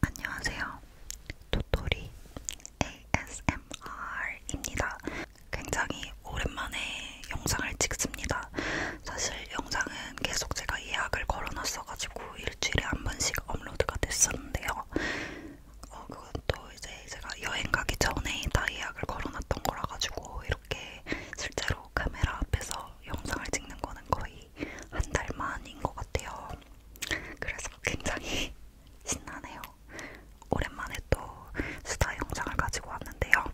안녕하세요. 도토리 ASMR입니다. 굉장히 오랜만에 영상을 찍습니다. 사실 영상은 계속 제가 예약을 걸어놨어가지고 일주일에 한 번씩 업로드가 됐었는데요. 어, 그건 또 이제 제가 여행 가기 전에 다 예약을 걸어놨던 거라 가지고 이렇게 실제로 카메라 앞에서 영상을 찍는 거는 거의 한달 만인 것 같아요. 그래서 굉장히 신나네요. 오랜만에 또 수다 영상을 가지고 왔는데요.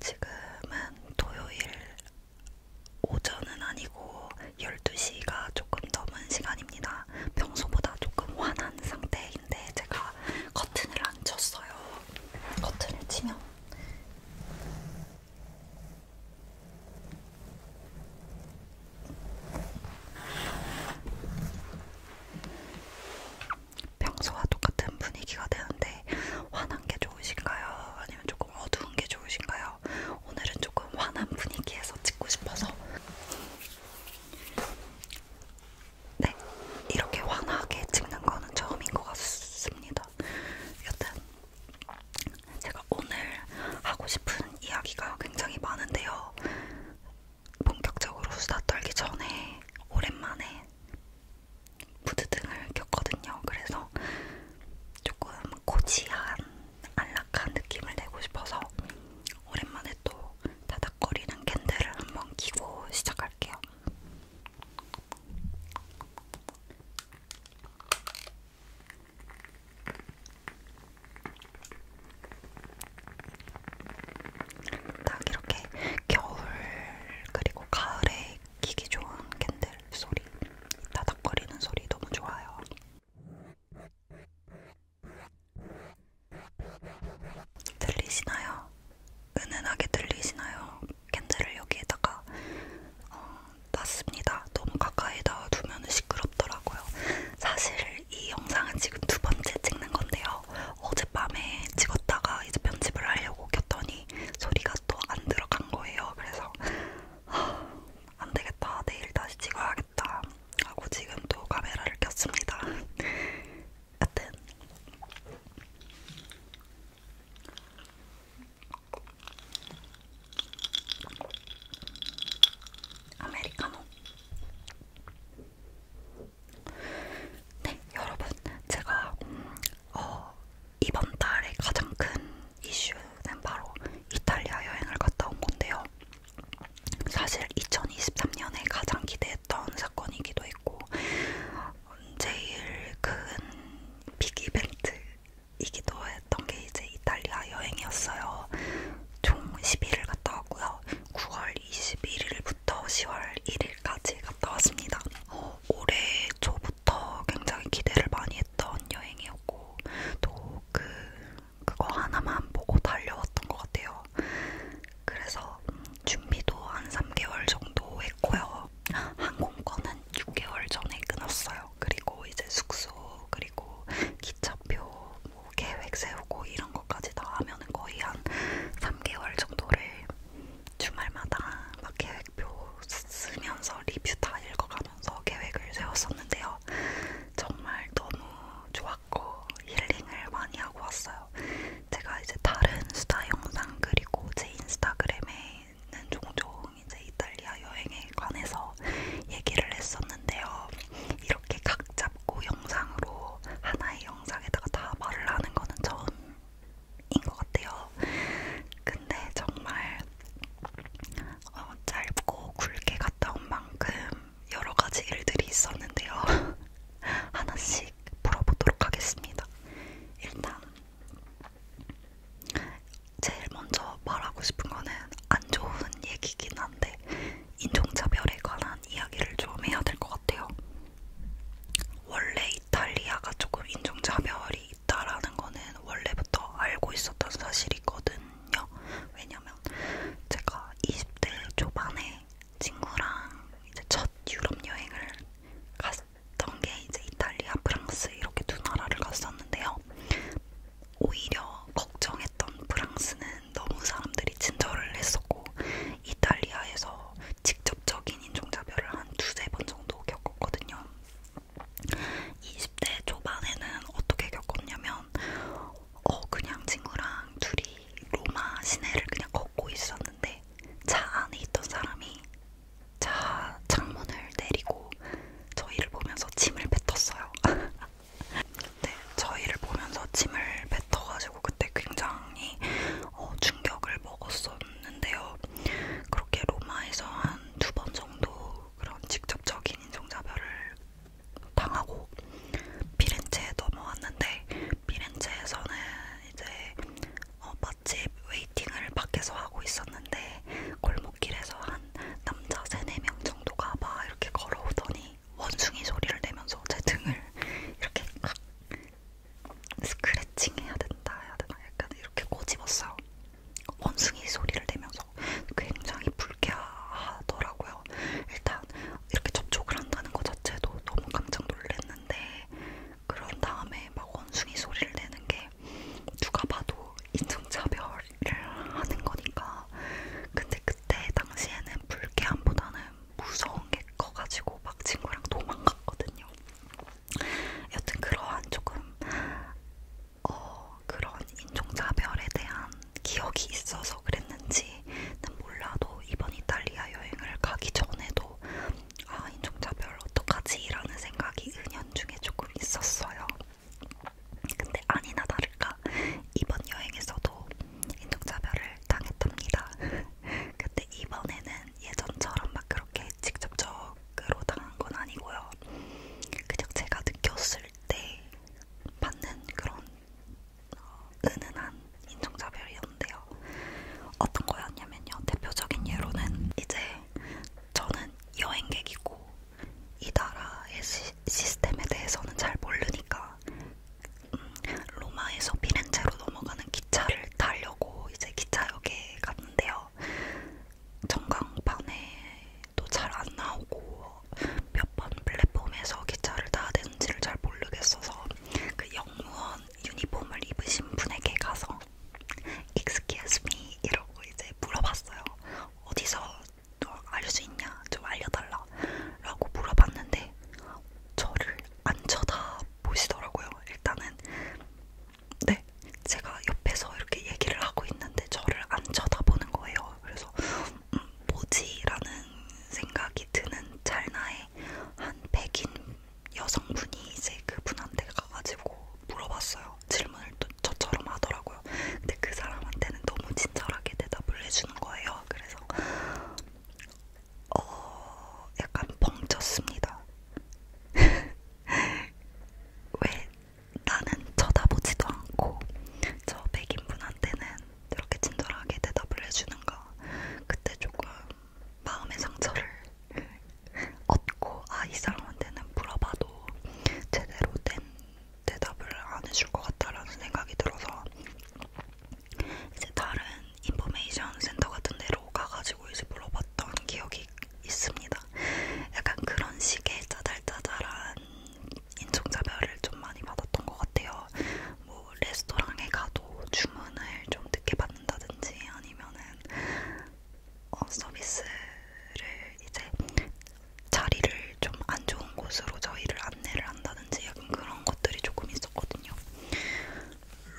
지금은 토요일 오전은 아니고 12시가 조금 넘은 시간입니다. 평소보다 조금 환한 끝난 상태인데 제가 커튼을 안 쳤어요. 커튼을 치면 평소와 똑같은 분위기가 되는데 환한 게 좋으신가요? 아니면 조금 어두운 게 좋으신가요? 오늘은 조금 환한 분위기에서 찍고 싶어서 네, 이렇게 환하게 찍는 거는 처음인 것 같습니다. 여튼 제가 오늘 하고 싶은 이야기가 굉장히 많은데요. 본격적으로 수다 떨기 전에 오랜만에 무드등을 켰거든요. 그래서 조금 고지한 안락한 느낌을 내고 싶어서 오랜만에 안에 또 다닥거리는 캔들을 한번 끼고 시작할게요. 딱 이렇게 겨울 그리고 가을에 끼기 좋은 캔들 소리, 다닥거리는 소리 너무 좋아요. 들리시나요? 은은하게 들리시나요? 캔들을 여기에다가 어, 놨습니다. 너무 가까이 놔두면 시끄럽더라고요. 사실 이 영상은 지금 두 번째 찍는 건데요. 어젯밤에 찍었다가 이제 편집을 하려고 켰더니 소리가 또 안 들어간 거예요. 그래서 아, 안 되겠다. 내일 다시 찍어야겠다. 해야겠다 하고 지금 또 카메라를 켰습니다. 여튼 아메리카노. 네, 여러분, 제가 어, 이번 달에 가장 큰 이슈는 바로 이탈리아 여행을 갔다 온 건데요. 사실 2023년에 가장 기대했던 사건이기도 했고 제일 큰 빅이벤트이기도 했던 게 이제 이탈리아 여행이었어요. 총 10일을 갔다 왔고요. 9월 21일부터 10월 1일까지 갔다 왔습니다. 어, 올해 초부터 굉장히 기대를 많이 했던 여행이었고 또그 그거 하나만 보고 달려왔던 것 같아요. 그래서 준비도 한 3개월 정도 했고요. 항공권은 6개월 전에 끊었어요. 그리고 이제 숙소, 그리고 기차표, 뭐 계획 세우고 이런 것까지 다 하면 거의 한 3개월 정도를 주말마다 막 계획표 쓰면서 리뷰 다 읽어가면서 계획을 세웠었는데요. 정말 너무 좋았 받고 힐링을 많이 하고 왔어요. 제가 이제 다른 수다 영상 그리고 제 인스타그램에는 종종 이제 이탈리아 여행에 관해서 얘기를 했었는데요. 이렇게 각 잡고 영상으로 하나의 영상에다가 다 말을 하는 거는 처음인 것 같아요. 근데 정말 어, 짧고 굵게 갔다 온 만큼 여러 가지 일들이 있었는데요. 하나씩 풀어보도록 하겠습니다. 일단 제일 먼저 말하고 싶은 거는 안 좋은 얘기긴 한데 인종차별에 관한 이야기를 좀 해야 될 것 같아요. 원래 이탈리아가 조금 인종차별이 있다라는 거는 원래부터 알고 있었던 사실이거든요. 왜냐면 뭐냐면 제가 20대 초반에 친구랑 이제 첫 유럽 여행을 갔던 게 이제 이탈리아, 프랑스 이렇게 두 나라를 갔었는데요. 오히려 걱정했던 프랑스는 너무 사람들이 친절을 했었고 이탈리아에서 직접적인 인종차별을 한 두세 번 정도 겪었거든요. 20대 초반에는 어떻게 겪었냐면 어 그냥 친구랑 둘이 로마 시내를 그냥 걷고 있었는데 차 안에 있던 사람이 차 창문을 내리고 저희를 보면서 침을 뱉었어요. 네, 저희를 보면서 침을 뱉어가지고 그때 굉장히 어, 충격을 먹었었는데요. 그렇게 로마에서 한 두 번 정도 그런 직접적인 인종차별을 당하고 피렌체에 넘어왔는데 피렌체에서는 이제 어, 맛집 웨이팅을 밖에서 하고 있었는데 골목길에서 한 남자 3, 4명 정도가 막 이렇게 걸어오더니 원숭이 소리를 내면서 제 등을 이렇게 스크래칭 해야 된다 해야 되나 약간 이렇게 꼬집었어요. 원숭이 소리를 내면서 있어서 굉장히 불쾌하더라고요. 일단 이렇게 접촉을 한다는 것 자체도 너무 깜짝 놀랐는데 그런 다음에 막 원숭이 소리를 내는 게 누가 봐도 인종차별을 하는 거니까 근데 그때 당시에는 불쾌함보다는 무서운 게 커가지고 막 친구랑 도망갔거든요. 여튼 그러한 조금 어, 그런 인종차별에 대한 기억이 있어서 그랬는지는 몰라도 이번 이탈리아 여행을 가기 전에도 아 인종차별 어떡하지? 라는 생각이 은연중에 조금 있었어요. 근데 아니나 다를까 이번 여행에서도 인종차별을 당했답니다. 근데 이번에는 예전처럼 막 그렇게 직접적으로 당한 건 아니고요. 그냥 제가 느꼈을 때 받는 그런 은은한 인종차별이었는데요. 어떤 거였냐면요. 대표적인 예로는 이제 저는 여행객이고 이 나라의 시, 시스템에 대해서는 잘 모르니까 음, 로마에서 피렌체로 넘어가는 기차를 타려고 이제 기차역에 갔는데요. 전광판에도 잘 안 나오고 몇번 플랫폼에서 기차를 타야 되는지를 잘 모르겠어서 그 영무원 유니폼을 입으신 분에게 가서 Excuse me 이러고 이제 물어봤어요. 어디서 알릴 수 있냐? 좀 알려달라 라고 물어봤는데 저를 안 쳐다보시더라고요. 일단은 네 제가 옆에서 이렇게 얘기를 하고 있는데 저를 안 쳐다보는 거예요. 그래서 뭐지라는 생각이 드는 찰나에 한 백인 여성분이 이제 그분한테 가가지고 물어봤어요. 질문을 또 저처럼 하더라고요. 근데 그 사람한테는 너무 친절하게 대답을 해주는 거예요. 그래서 어 약간 벙쳤습니다. 왜 나는 쳐다보지도 않고 저 백인분한테는 이렇게 친절하게 대답을 해주는 거 그때 조금 마음의 상처를 얻고 아 이 사람한테는 물어봐도 제대로 된 대답을 안 해줄 것 같다라는 생각이 들어서 이제 다른 인포메이션 센터 같은 데로 가가지고 이제 물어봤던 기억이 있습니다. 약간 그런 식의 짜잘짜잘한 인종차별을 좀 많이 받았던 것 같아요. 뭐 레스토랑에 가도 주문을 좀 늦게 받는다든지 아니면은 어, 서비스를 이제 자리를 좀 안 좋은 곳으로 저희를 안내를 한다든지 약간 그런 것들이 조금 있었거든요.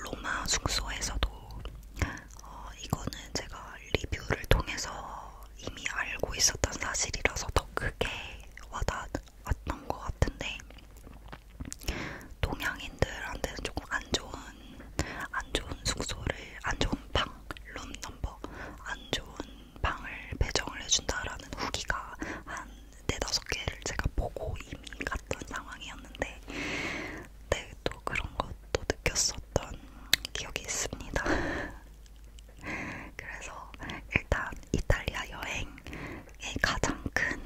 로마 숙소에서도 어, 이거는 제가 리뷰를 통해서 이미 알고 있었던 사실이라서 더 크게 와닿았던 것 같은데 동양인들한테는 조금 안 좋은 안 좋은 숙소를 안 좋은 방룸 넘버 안 좋은 방을 배정을 해준다라는 후기가 한 네다섯 개를 제가 보고 이미 갔던 상황이었는데 네, 또 그런 것도 느꼈었던 기억이 있습니다. 그래서 일단 이탈리아 여행의 가장 큰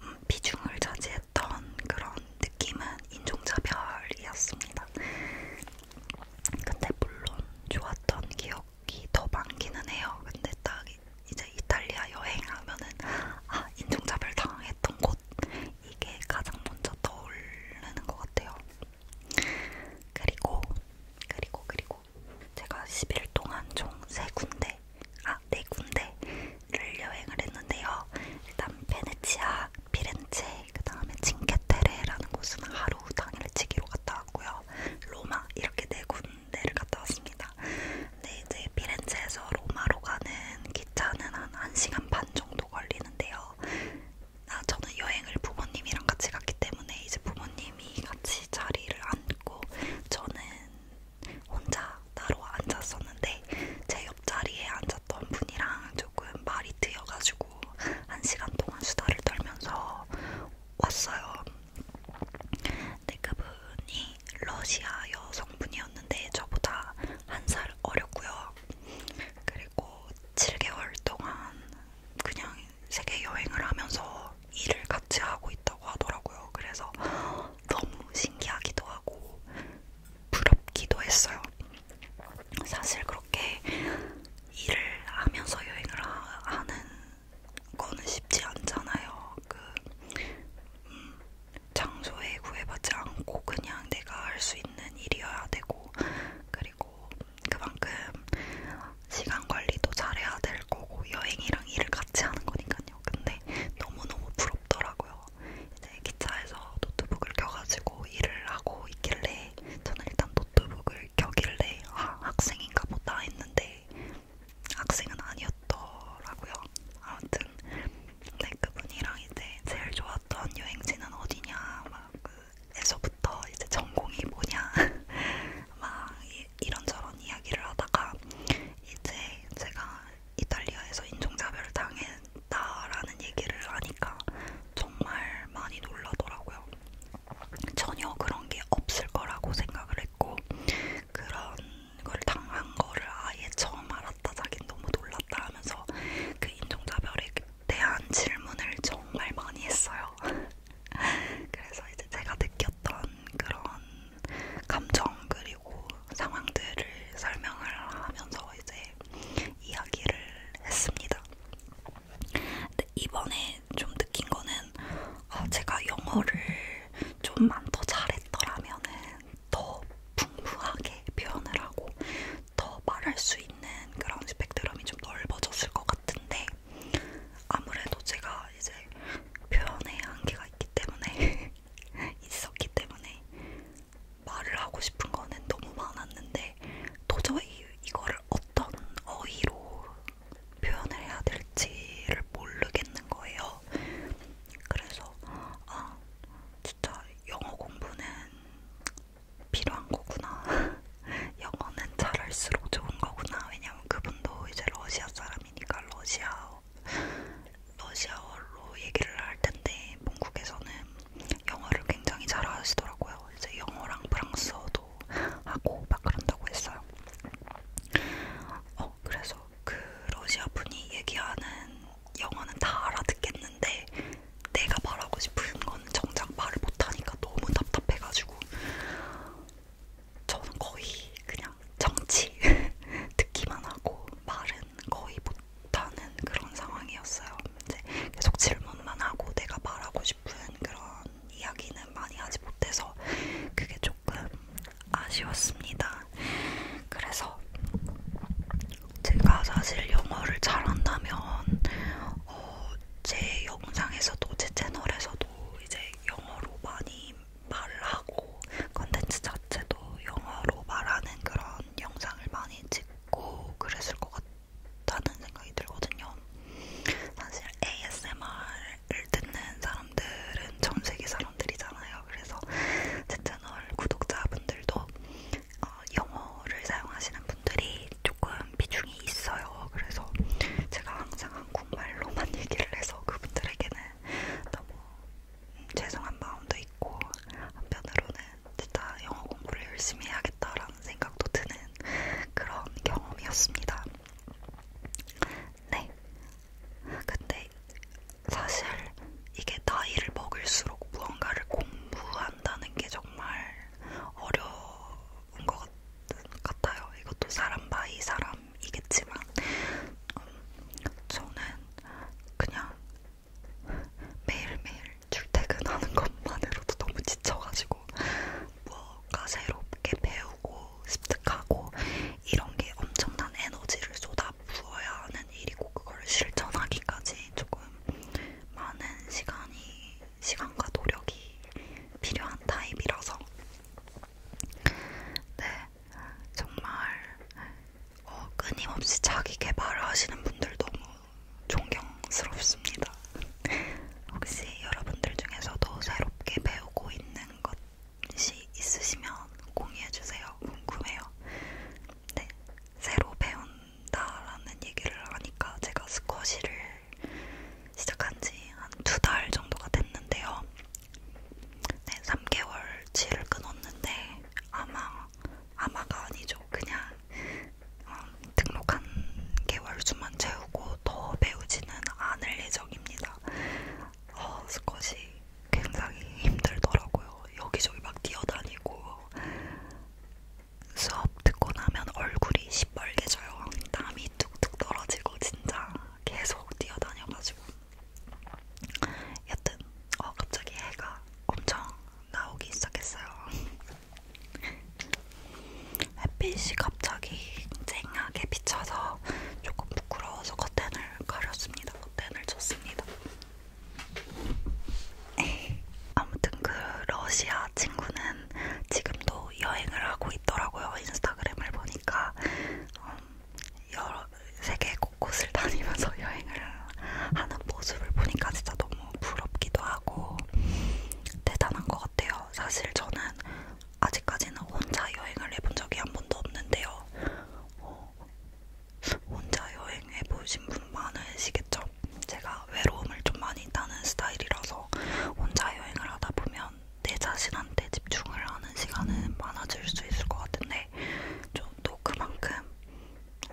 음, 비중을 차지했던 그런 느낌은 인종차별이었습니다. 근데 물론 좋았던 기억이 더 많기는 해요. 근데 딱 이제 이탈리아 여행하면은 아 인종차별 당했던 곳 이게 가장 먼저 떠오르는 것 같아요. 그리고 그리고 그리고 제가 10일 동안 총 세 군데 아 네 군데를 여행을 했는데요. 일단 베네치아, 피렌체, 그 다음에 칭케테레라는 곳은 하루 당일치기로 갔다 왔고요. 로마 이렇게 네 군데를 갔다 왔습니다. 근데 이제 피렌체에서 로마로 가는 기차는 한 1시간 반 정도 걸리는데요. 아, 저는 여행을 부모님이랑 같이 갔기 때문에 이제 부모님이 같이 자리를 앉고 저는 혼자 따로 앉았었는데 제 옆자리에 앉았던 분이랑 조금 말이 트여가지고 한 시간 동안 수다를 떨면서 왔어요. 근데 그분이 러시아 여성분이었는데 저보다 한 살 어렸고요. 그리고 7개월 동안 그냥 세계 여행을 하면서 일을 같이 하고 있다고 하더라고요. 그래서 너무 신기하기도 하고 부럽기도 했어요. 사실 그렇게 일을 하면서 여행을 하는 거는 쉽지 않잖아요. 그 음, 장소에 구애받지 않고 그냥 내가 할 수 있는 일이어야 되고 그리고 그만큼 시간 관리도 잘해야 될 거고 여행이랑 일을 같이 하는 거니까요. 근데 너무너무 부럽더라고요. 이제 기차에서 노트북을 켜가지고 일을 하고 있길래 저는 일단 노트북을 켜길래 아, 학생인가 보다 했는데 학생은 아니었더라고요. 아무튼 네, 그분이랑 이제 제일 좋았던 여행지는 어디냐 막그 에서부터 이제 전공이 뭐냐 막 이, 이런저런 이야기를 하다가 이제 제가 이탈리아에서 인종차별을 당했다라는 얘기를 하니까 정말 많이 놀라더라고요. 전혀 그런 게 없을 거라고 생각을 했고 그런 걸 당한 거를 아예 처음 알았다 자긴 너무 놀랐다 하면서 그 인종차별에 대한 질문을 정말 많이 했어요. 그래서 이제 제가 느꼈던 그런 감정 그리고 상황들을 설명을 하면서 이제 이야기를 했습니다. 근데 이번에 좀 느낀 거는 아, 제가 영어를 좀만 더 잘했더라면은 더 풍부하게 표현을 하고 더 말할 수 있는 그런 스펙트럼이 좀 넓어졌을 것 같은데 아무래도 제가 이제 표현의 한계가 있기 때문에 있었기 때문에 말을 하고 싶은 거는 너무 많았는데 도저히 이거를 어떤 어휘로 표현을 해야 될지를 모르겠는 거예요. 그래서 아 진짜 영어 공부는 필요한 거구나. 영어는 잘할수록 좋은 거구나. 왜냐면 그분도 이제 러시아 사람이니까 러시아어, 러시아어로 얘기를 할 텐데 본국에서는 영어를 굉장히 잘하시더라고요. 이제 영어랑 프랑스어도 하고 막 그런다고 했어요. 어 그래서 그 러시아 분이 얘기하는 영어는 다 알아듣겠는데 내가 말하고 싶은 건 정작 말을 못하니까 너무 답답해가지고 저는 거의 그냥 정치 듣기만 하고 말은 거의 못하는 그런 상황이었어요. 이제 계속 질문만 하고 내가 말하고 싶은 그런 이야기는 많이 하지 못해서 그게 조금 아쉬웠습니다. 그래서 제가 사실 영어를 잘한다면 어, 제 영상에서도 제 채널에서도 이제 영어로 많이 말하고 컨텐츠 자체도 영어로 말하는 그런 영상을 많이 찍고 그랬을 것 같다는 생각이 들거든요. 사실 ASMR을 듣는 사람들은 전 세계 사람들이잖아요. 그래서 제 채널 구독자분들도 어, 영어를 사용하시는 분들이 조금 비중이 있어요. 그래서 제가 항상 한국말로만 얘기를 해서 그분들에게는 너무 음, 죄송한 마음도 있고 한편으로는 진짜 영어 공부를 열심히 해야겠다라는 생각도 드는 그런 경험이었습니다. 네. 근데 사실 이게 나이를 먹을수록 무언가를 공부한다는 게 정말 어려운 것 같아요. 이것도 사람 바이 사람이겠지만 음, 저는 그냥 매일매일 출퇴근하는 것만으로도 너무 지쳐가지고 무엇가 새롭게 배우고 습득하고 이런 게 엄청난 에너지를 쏟아 부어야 하는 일이고 그걸 실천하기까지 조금 많은 시간이 시간과 노력이 필요한 타입이라서 네 정말 어, 끊임없이 자기 개발을 하시는 분들 너무 존경스럽습니다. 혹시 여러분들 중에서도 새롭게 배우고 있는 것이 있으시면 공유해주세요. 궁금해요. 네, 새로 배운 한다라는 얘기를 하니까 제가 스쿼시를 시작한 지 한 두 달 정도가 됐는데요. 네, 3개월치를 끊었는데 아마 아마가 아니죠. 그냥 어, 등록한 개월수만 채우고 더 배우지는 않을 예정입니다. 어, 스쿼시 굉장히 힘들더라고요. 여기저기 막 뛰어다니고 수업 듣고 나면 얼굴이 시뻘개져요. 땀이 뚝뚝 떨어지고 진짜 계속 뛰어다녀가지고. 여튼 어 갑자기 해가 엄청 나오기 시작했어요. 햇빛이 갑자기 쨍하게 비쳐서 조금 부끄러워서 커튼을 가렸습니다. 커튼을 쳤습니다. 아무튼 그 러시아 친구는 지금도 여행을 하고 있더라고요. 인스타그램을 보니까 음, 여러 세계 곳곳을 다니면서 여행을 하는 모습을 보니까 진짜 너무 부럽기도 하고 대단한 것 같아요. 사실 저는 아직까지는 혼자 여행을 해본 적이 한 번도 없는데요. 어, 혼자 여행해 보신 분 많으시겠죠? 제가 외로움을 좀 많이 타는 스타일이라서 혼자 여행을 하다 보면 내 자신한테 집중을 하는 시간은 많아질 수 있을 것 같은데 좀또 그만큼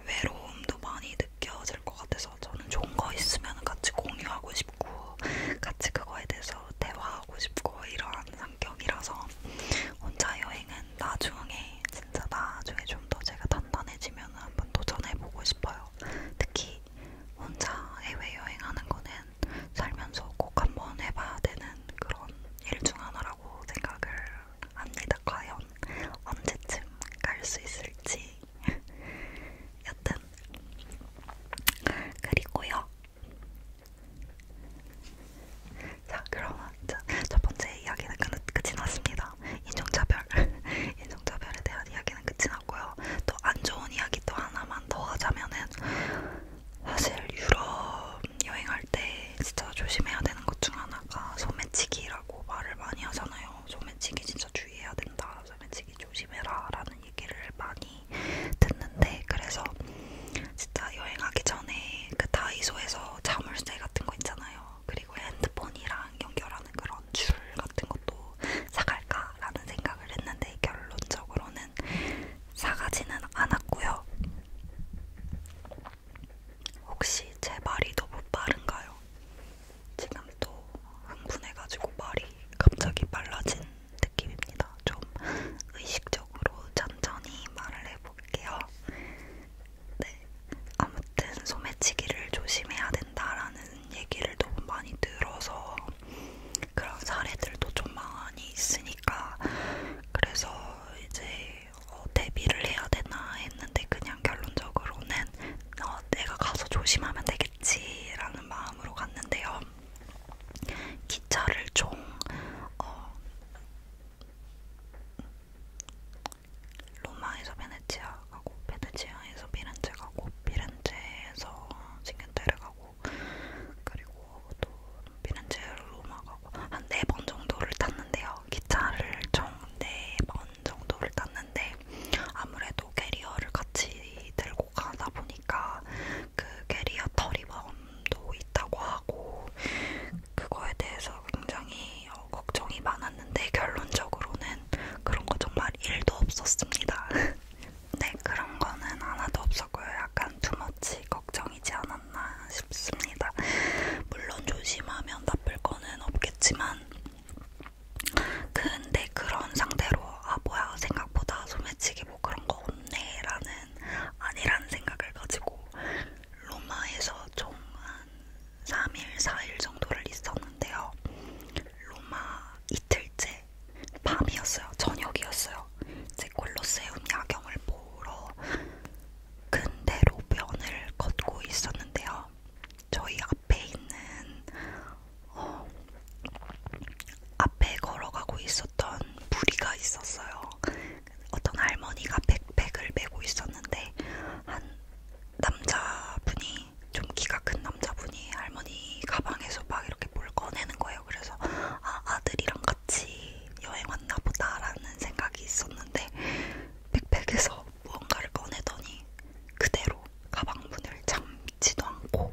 외로움도 많이 느껴질 것 같아서 저는 좋은 거 있으면 같이 공유하고 싶고 같이 그거에 대해서 대화하고 싶고 이러한 성격이라서 혼자 여행은 나중에 진짜 나중에 좀 더 제가 단단해지면 있으면 한번 도전해보고 싶어요. 특히 혼자 해외여행하는 거는 살면서 꼭 한번 해봐야 되는 그런 일 중 하나라고 생각을 합니다. 과연 언제쯤 갈 수 있을지. 여튼. 그리고요. 자, 그럼 자, 첫 번째 이야기는 끝이 났습니다. 있습니다. 인종차별, 인종차별에 대한 이야기는 끝이 났고요. 또 안 좋은 이야기 또 하나만 더 하자면은 사실 유럽 여행할 때 진짜 조심해야 되는 것 중 하나가 소매치기라고 말을 많이 하잖아요. 소매치기 진짜 주의해야 된다. 소매치기 조심해라라는 얘기를 많이 듣는데 그래서 진짜 여행하기 전에 그 다이소에서 자물쇠 같은 거 있잖아요. 그리고 핸드폰이랑 연결하는 그런 줄 같은 것도 사갈까라는 생각을 했는데 결론적으로는 사가지는 않았고요. 혹시 제 말이 너무 빠른가요? 지금 또 흥분해가지고 말이 갑자기 빨라진 느낌입니다. 좀 의식적으로 천천히 말을 해볼게요. 네. 아무튼 소매치기를 조심해야 된다라는 얘기를 너무 많이 들어서 그런 사례들도 좀 많이 있으니까 그래서 이제 어, 대비를 해야 되나 했는데 그냥 결론적으로는 어, 내가 가서 조심하면 되겠지라는 마음으로 갔는데요. 기차를 총 어, 로마에서 베네치아 가고 베네치아에서 피렌체 가고 피렌체에서 싱겐테르 가고 그리고 또 피렌체 로마 가고 한 네 번 정도를 탔는데요. 기차를 총 네 번 정도를 탔는데 아무래도 캐리어를 같이 들고 가다 보니까 그 캐리어 털이 범도 있다고 하고 그거에 대해서 굉장히 굉장히 어, 걱정이 많았는데 결론적으로는 그런 거 정말 1도 없었습니다. 네, 그런 거는 하나도 없었고요. 약간 투머치 걱정이지 않았나 싶습니다. 물론 조심하면 나쁠 거는 없겠지만 근데 그런 상태로 아 뭐야 생각보다 소매치기 뭐 그런 거 없네 라는 아니란 생각을 가지고 로마에서 총한 3일, 4일 정도를 있었는데요. 로마 이틀째 밤이었어요. 저녁이었어요. 이제 콜로세움 야경을 보러 근대 로변을 걷고 있었는데요. 저희 앞에 있는 어, 앞에 걸어가고 있었던 부리가 있었어요. 어떤 할머니가 백팩을 메고 있었는데 한 남자분이 좀 키가 큰 남자분이 할머니 가방에서 막 이렇게 뭘 꺼내는 거예요. 그래서 아, 아들이랑 같이 여행 왔나 보다라는 생각이 있었는데 백팩에서 무언가를 꺼내더니 그대로 가방 문을 잠지도 않고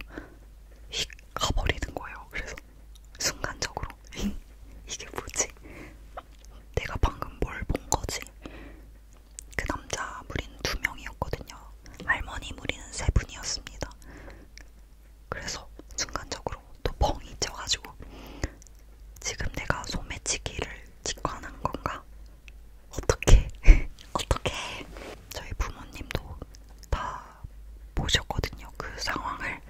휙 가버리는 거예요. 그래서 순간적으로 이게 뭐지? 내가 방금 뭘 본 거지? 그 남자 무리는 두 명이었거든요. 할머니 무리는 세 분이었습니다. 그래서 순간적으로 또 벙이 쪄가지고 지금 내가 소매치기를 직관한 건가? 어떻게? 어떻게? 저희 부모님도 다 보셨거든요. 그 상황을.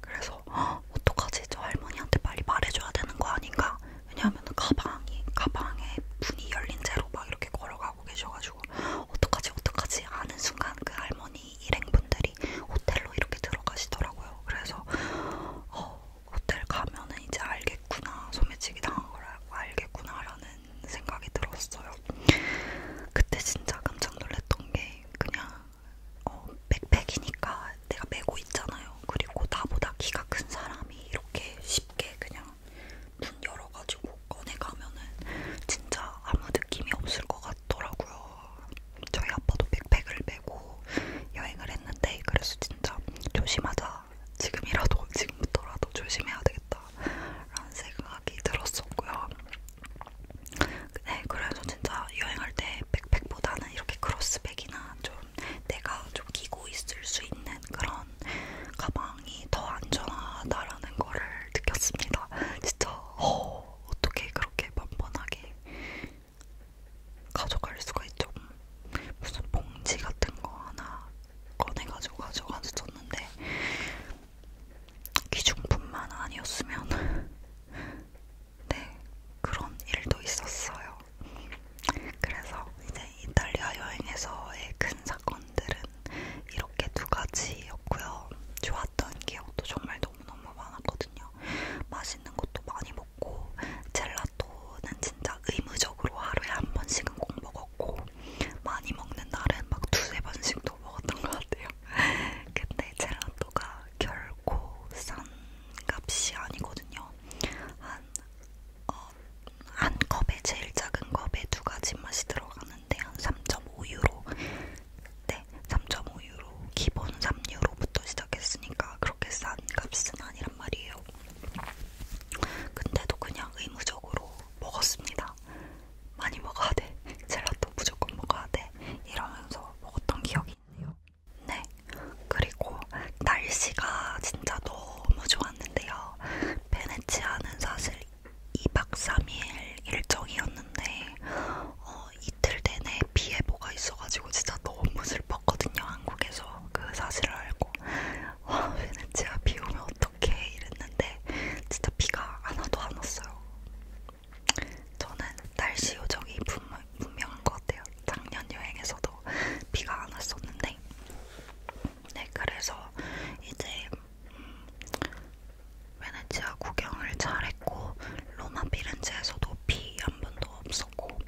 그래서 어, 어떡하지? 저 할머니한테 빨리 말해줘야 되는 거 아닌가? 왜냐하면 가방이 가방에 문이 열린 채로 막 이렇게 걸어가고 계셔가지고 어떡하지 어떡하지 하는 순간 그 할머니 일행분들이 호텔로 이렇게 들어가시더라고요. 그래서 어, 호텔 가면은 이제 알겠구나 소매치기 당한 걸 알겠구나라는 생각이 들었어요. 그때 진짜 깜짝 놀랐던 게 그냥 어, 백팩이니까 내가 메고 있잖아요. 그리고 나보다 키가 큰 사람이 이렇게 쉽게 그냥 눈 열어가지고 꺼내가면은 진짜 아무 느낌이 없을 것 같더라고요. 저희 아빠도 백팩을 메고 여행을 했는데 그래서 진짜 조심하자. 지금이라도 지금부터라도 조심해야 되겠다라는 생각이 들었었고요. 네, 그래서 진짜 여행할 때 백팩보다는 이렇게 크로스백이나 좀 내가 좀 끼고 있을 수 있는 그런 가방이 더 안전하다라는 거를 느꼈습니다. 진짜 어, 어떻게 그렇게 만만하게 가져갈 수가 있죠? 무슨 봉지 같은 거 하나 꺼내가지고 가져가줬었는데 기중품만 아니었으면 네, 그런 일도 있었어요. 그래서 이제 이탈리아 여행에서의 큰 사건들은 이렇게 두 가지였고요. 좋았던 기억도 정말 너무너무 많았거든요. 맛있는 것도 많이 먹고 젤라또는 진짜 의무적으로 하루에 한 번씩은 꼭 먹었고 많이 먹는 날은 막 두세 번씩도 먹었던 것 같아요. 근데 젤라또가 결코 싼 값이 아니거든요. 한, 어, 한 컵에 제일 작은 컵에 두 가지 맛이 들어가는데 한 3.5유로 네 3.5유로 기본 3유로부터 시작했으니까 그렇게 싼 값은 아니란 말이에요 근데도 그냥 의무적으로 먹었습니다 많이 먹어야 돼 젤라또 무조건 먹어야 돼 이러면서 먹었던 기억이 있네요 네. 그리고 날씨가 진짜 너무 좋았는데요. 베네치아는 사실 2박 3일 일정이었는데 어, 이틀 내내 비 예보가 있어가지고 진짜 너무 슬펐거든요. 한국에서 그 사실을 알고 와 베네치아 비 오면 어떡해 이랬는데 진짜 비가 하나도 안 왔어요. 저는 날씨 요정이 분명 가장 유명한 것 같아요. 작년 여행에서도 비가 안 왔었는데, 네 그래서 이제 음, 베네치아 구경을 잘했고 로마 피렌체에서도 비 한 번도 없었고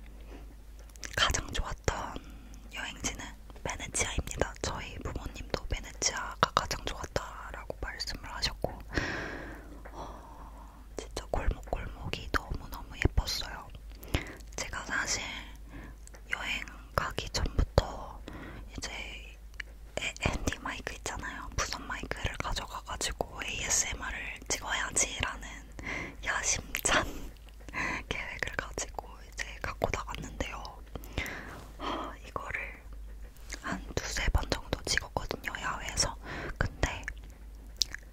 가장 좋았던 여행지는 베네치아입니다. 저희 부모님도 베네치아가 가장 좋았다라고 말씀을 하셨고 어, 진짜 골목골목이 너무너무 예뻤어요. 제가 사실 여행 가기 전부터 이제 앤디 마이크 있잖아요. 무선 마이크를 가져가가지고 ASMR을 찍어야지라는 야심찬 계획을 가지고 이제 갖고 나갔는데요. 아, 이거를 한 두세 번 정도 찍었거든요, 야외에서. 근데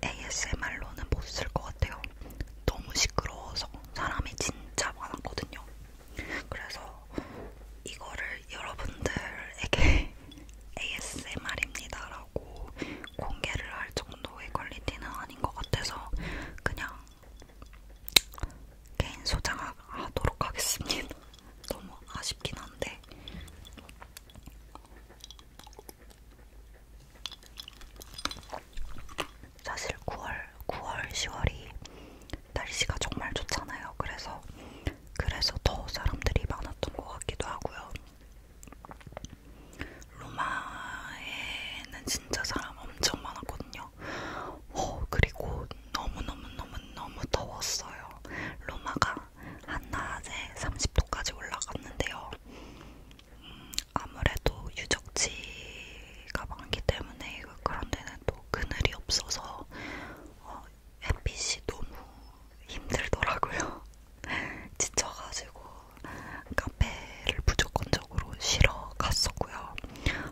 ASMR로는 못 쓸 것 같아요. 너무 시끄러워서 사람이 진짜 많았거든요. 그래서 이거를 여러분들에게 ASMR입니다라고 공개를 할 정도의 퀄리티는 아닌 것 같아서 그냥 개인 소장하도록 하겠습니다. 너무 아쉽긴 한데 사실 9월, 9월, 10월이 날씨가 정말 좋잖아요. 그래서 그래서 더 사람들이 많았던 것 같기도 하고요. 로마에는 진짜 사람 엄청 많았거든요. 오, 어, 그리고 너무 너무 너무 너무 더웠어요. 로마가 한낮에 30도까지 올라갔는데요. 음, 아무래도 유적지가 많기 때문에 그런 데는 또 그늘이 없어서 어, 햇빛이 너무 힘들더라고요. 지쳐가지고 카페를 무조건적으로 쉬러 갔었고요.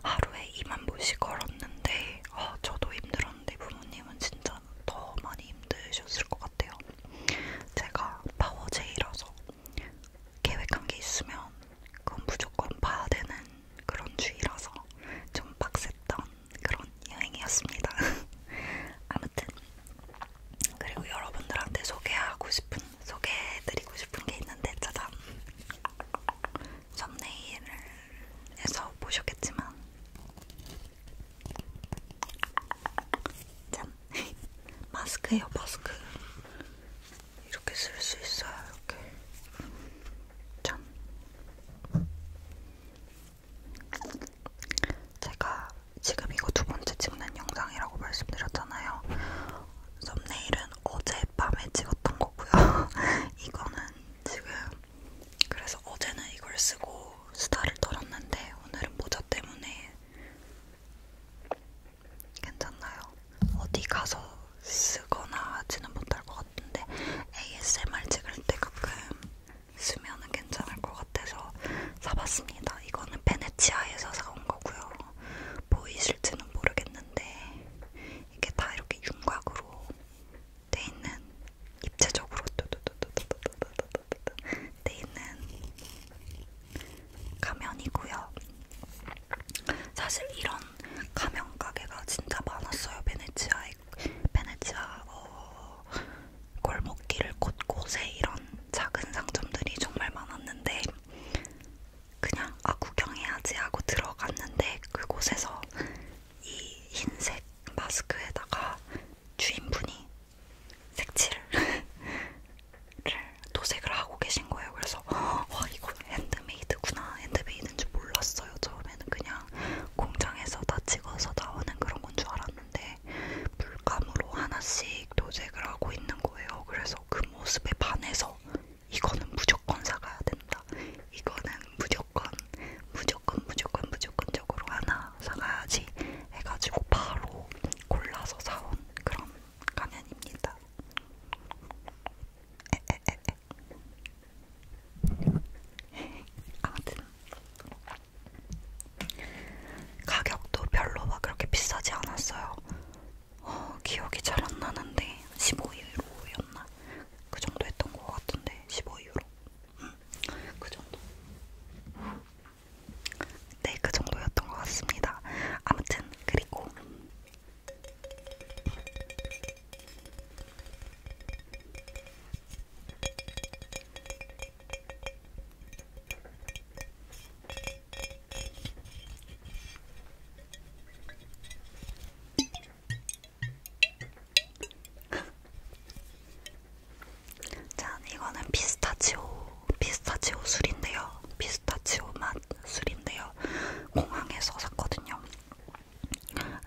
하루에 2만 보씩 걸었는데 어, 저도 힘들었는데 부모님은 진짜 더 많이 힘드셨을 것 같아요. 제가 파워제이라서 계획한 게 있으면 그건 무조건 봐야 되는 그런 주의라서 좀 빡셌던 그런 여행이었습니다. 아무튼 그리고 여러분들한테 소개하고 싶은 소개해드리고 싶은 게 있는데 짜잔 썸네일에서 보셨겠지만 짠! 마스크예요 마스크 이렇게 쓸 수 있어요 이렇게 짠! 제가 지금 이거 두 번째 찍는 영상이라고 말씀드렸잖아요. 썸네일은 어젯밤에 찍었던 거고요. 이거는 지금 그래서 어제는 이걸 쓰고 수다를 떨었는데 오늘은 모자 때문에 괜찮나요? 어디 가서 쓰거나 하지는 못할 것 같은데 ASMR 찍을 때 가끔 쓰면은 괜찮을 것 같아서 사봤습니다. 이거는 베네치아에서 사온 거고요. 보이실지는 모르겠는데 이게 다 이렇게 윤곽으로 돼 있는 입체적으로 돼 있는 가면이고요. 사실 이런 가면 가게가 진짜 많았어요. 베네치아의 베네치아 어, 골목길 곳곳에 이런 작은 상점들이 정말 많았는데 그냥 아 구경해야지 하고 들어갔는데 그곳에서 이 흰색 마스크에다가 주인분이 색칠을 도색을 하고 계신 거예요. 그래서 와 이거 핸드메이드구나. 핸드메이드인지 몰랐어요. 처음에는 그냥 공장에서 다 찍어서 나오는 그런 건 줄 알았는데 물감으로 하나씩 도색을 하고 있는 거예요. 그래서 그 모습에 반해서 이거는 무조건 사가야 된다. 이거는 무조건 무조건 무조건 무조건적으로 하나 하나 사가야지 해가지고 바로 골라서 사온 그런 가면입니다. 에에에에. 아무튼 가격도 별로 막 그렇게 비싸지 않았어요. 어, 기억이 잘 안 나는데 15유로였나? 그 정도 했던 것 같은데 15유로. 응, 음, 그 정도. 네, 그 정도였던 것 같습니다. 아무튼 그리고 짠, 이거는 피스타치오, 피스타치오 술인데요. 피스타치오 맛 술인데요. 공항에서 샀거든요.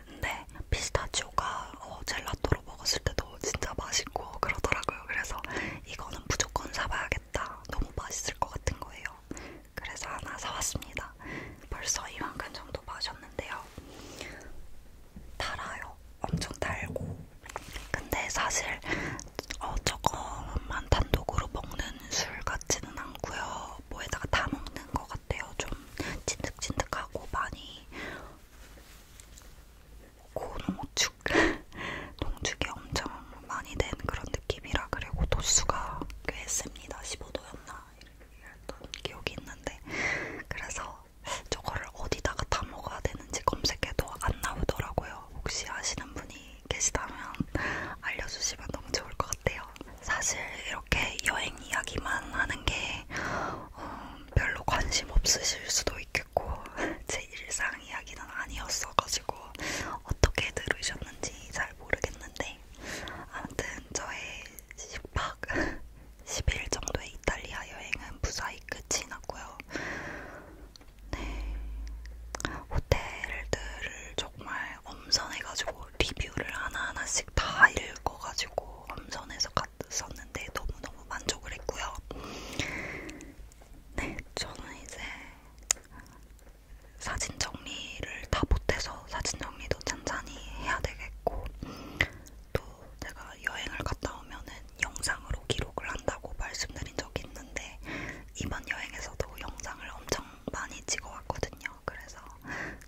근데 피스타치오가 어, 젤라또로 먹었을 때도 진짜 맛있고 그러더라고요. 그래서 이거는 무조건 사봐야겠다. 너무 맛있을 것 같은 거예요. 그래서 하나 사왔습니다. 벌써 이만큼 정도 마셨는데요. 달아요. 엄청 달고 근데 사실 어, 저거만 단독으로 먹는 술 같지는 않고요 뭐에다가 다 먹는 것 같아요 좀 찐득찐득하고 많이 고농축 농축이 엄청 많이 된 그런 느낌이라 그리고 도수가 꽤 셉니다 15도였나 이랬던 기억이 있는데 그래서 저거를 어디다가 다 먹어야 되는지 검색해도 안 나오더라고요. 혹시 아시는 분이 계시다면 알려주시면 너무 좋을 것 같아요. 사실 이렇게 여행 이야기만 하는 게 어, 별로 관심 없으실 수도 있겠고 제 일상 이야기는 아니었어가지고 어떻게 들으셨는지 잘 모르겠는데 아무튼 저의 식박 10일 정도의 이탈리아 여행은 무사히 끝이 났고요. 네. 호텔들을 정말 엄선해가지고 리뷰를 하나하나씩 다 읽어가지고 엄선해서 갔었는데 너무너무 만족을 했고요. 네, 저는 이제 사진 정리를 다 못해서 사진 정리도 천천히 해야 되겠고 또 제가 여행을 갔다 오면은 영상으로 기록을 한다고 말씀드린 적이 있는데 이번 여행에서도 영상을 엄청 많이 찍어왔거든요. 그래서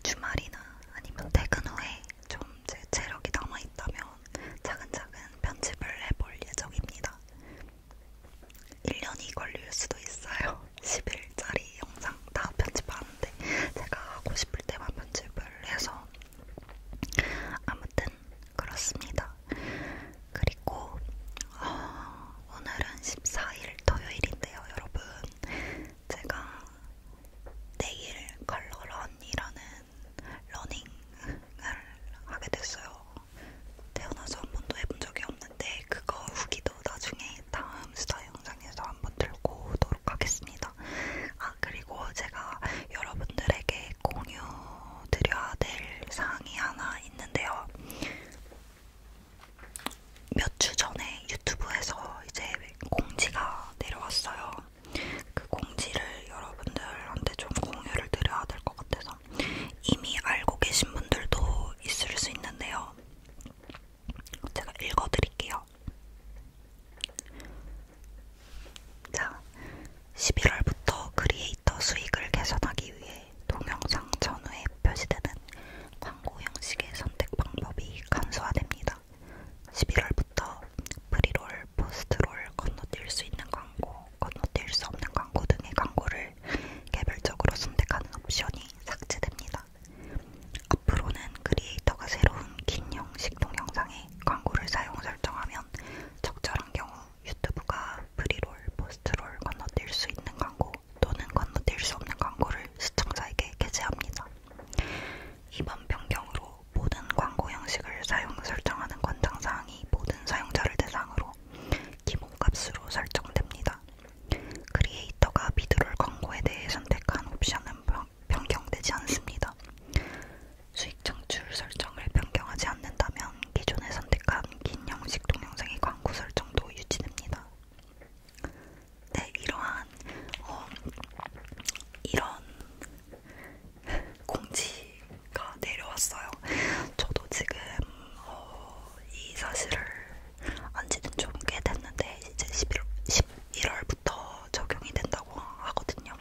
주말이나 아니면 퇴근 후에 좀 제 체력이 남아있다면 차근차근 편집을 해볼 예정입니다. 1년이 걸릴 수도 있어요. 10일짜리 영상 다 편집하는데 제가 하고 싶을 때만 편집을 해서 아무튼 그렇습니다. 그리고 어, 오늘은 14일 토요일인데요, 여러분. 제가 내일 컬러런이라는 러닝을 하게 됐어요. 태어나서 한 번도 해본 적이 없는데 그거 후기도 나중에 다음 수다 영상에서 한 번 들고 오도록 하겠습니다. 같습니다. 아, 그리고 제가 여러분들에게 공유드려야 될 사항이 하나 있는데요. 몇 주 전에 유튜브에서 이제 공지가 내려왔어요. 그 공지를 여러분들한테 좀 공유를 드려야 될 것 같아서 이미 알고 계신 분들도 있을 수 있는데요. 제가 읽어드릴게요. 자, 11월부터 크리에이터 수익을 개선하기 위해 동영상 전후에 표시되는 광고 형식의 선택 방법이 간소화됩니다. 11월부터 프리롤, 포스트롤, 건너뛸 수 있는 광고, 건너뛸 수 없는 광고 등의 광고를 개별적으로 선택하는 옵션이 삭제됩니다. 앞으로는 크리에이터가 새로운 긴 형식 동영상에 상에 광고를 사용 설정하면 적절한 경우 유튜브가 프리롤, 포스트롤 건너뛸 수 있는 광고 또는 건너뛸 수 없는 광고를 시청자에게 게재합니다. 이번 변경으로 모든 광고 형식을 사용 설정하는 권장사항이 모든 사용자를 대상으로 기본값으로 설정됩니다. 크리에이터가 비드롤 광고에 대해 선택한 옵션은 변경되지 않습니다. 수익 창출 설정을 변경하지 않는다면 기존에 선택한 긴 형식 동영상의 광고 설정도 유지됩니다. 네, 이러한 어, 이런 공지가 내려왔어요. 저도 지금 어, 이 사실을 안지는 좀 꽤 됐는데 이제 11월 10, 1월부터 적용이 된다고 하거든요.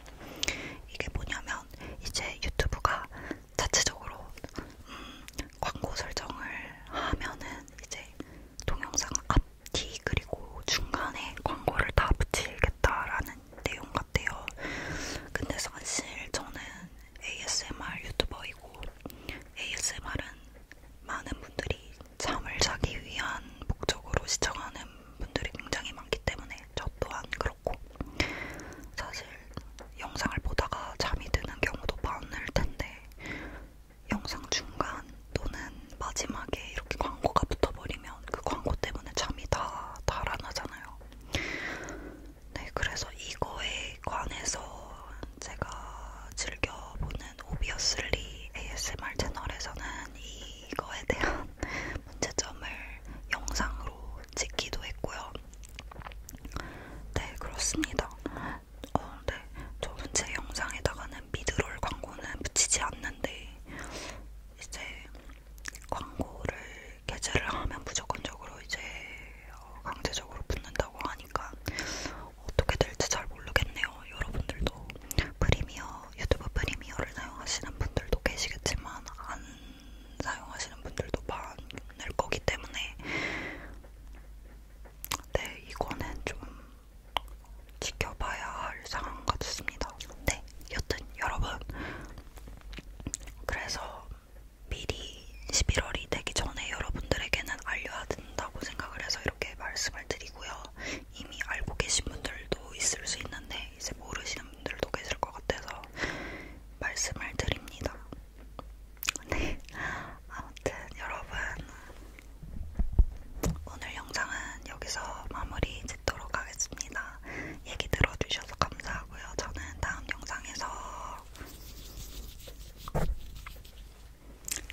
이게 뭐냐면 이제 유튜브가 자체적으로 음, 광고 설정을 하면은 이제 동영상 앞뒤 그리고 중간에 광고를 다 붙이겠다라는 내용 같아요. 근데 사실 저는 ASMR 유튜버이고 ASMR은 많은 분들이 잠을 자기 위한 목적으로 시청하는 분들이 굉장히 많기 때문에 저 또한 그렇고 사실 영상을 보다가 잠이 드는 경우도 많을 텐데 영상 중간 또는 마지막에 이렇게 광고가 붙어버리면 그 광고 때문에 잠이 다 달아나잖아요. 네, 그래서 이거에 관해서 제가 즐겨보는 오비어슬리 ASMR 채널에서는 이 이거에 대한 문제점을 영상으로 찍기도 했고요. 네, 그렇습니다. 어, 네. 저는 제 영상에다가는 미드롤 광고는 붙이지 않는데, 이제 광고를 계제를 하면 무조건적으로 이제 어, 강제적으로 붙는다고 하니까 어떻게 될지 잘 모르겠네요. 여러분들도 프리미어 유튜브 프리미어를 사용하시는 분들도 계시겠지만 안 사용하시는 분들도 많을 거기 때문에 네 이거는 좀 지켜봐야 할 상황 같습니다. 네 여튼 여러분 그래서 미리 11월이 되기 전에 여러분들에게는 알려야 된다고 생각을 해서 이렇게 말씀을 드리고요. 이미 알고 계신 분들도 있을 수 있는데 때문에 이제 모르시는 분들도 계실 것 같아서 말씀을 드립니다. 네, 아무튼 여러분 오늘 영상은 여기서 마무리 짓도록 하겠습니다. 얘기 들어주셔서 감사하고요. 저는 다음 영상에서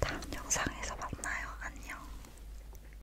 다음 영상에서 만나요. 안녕.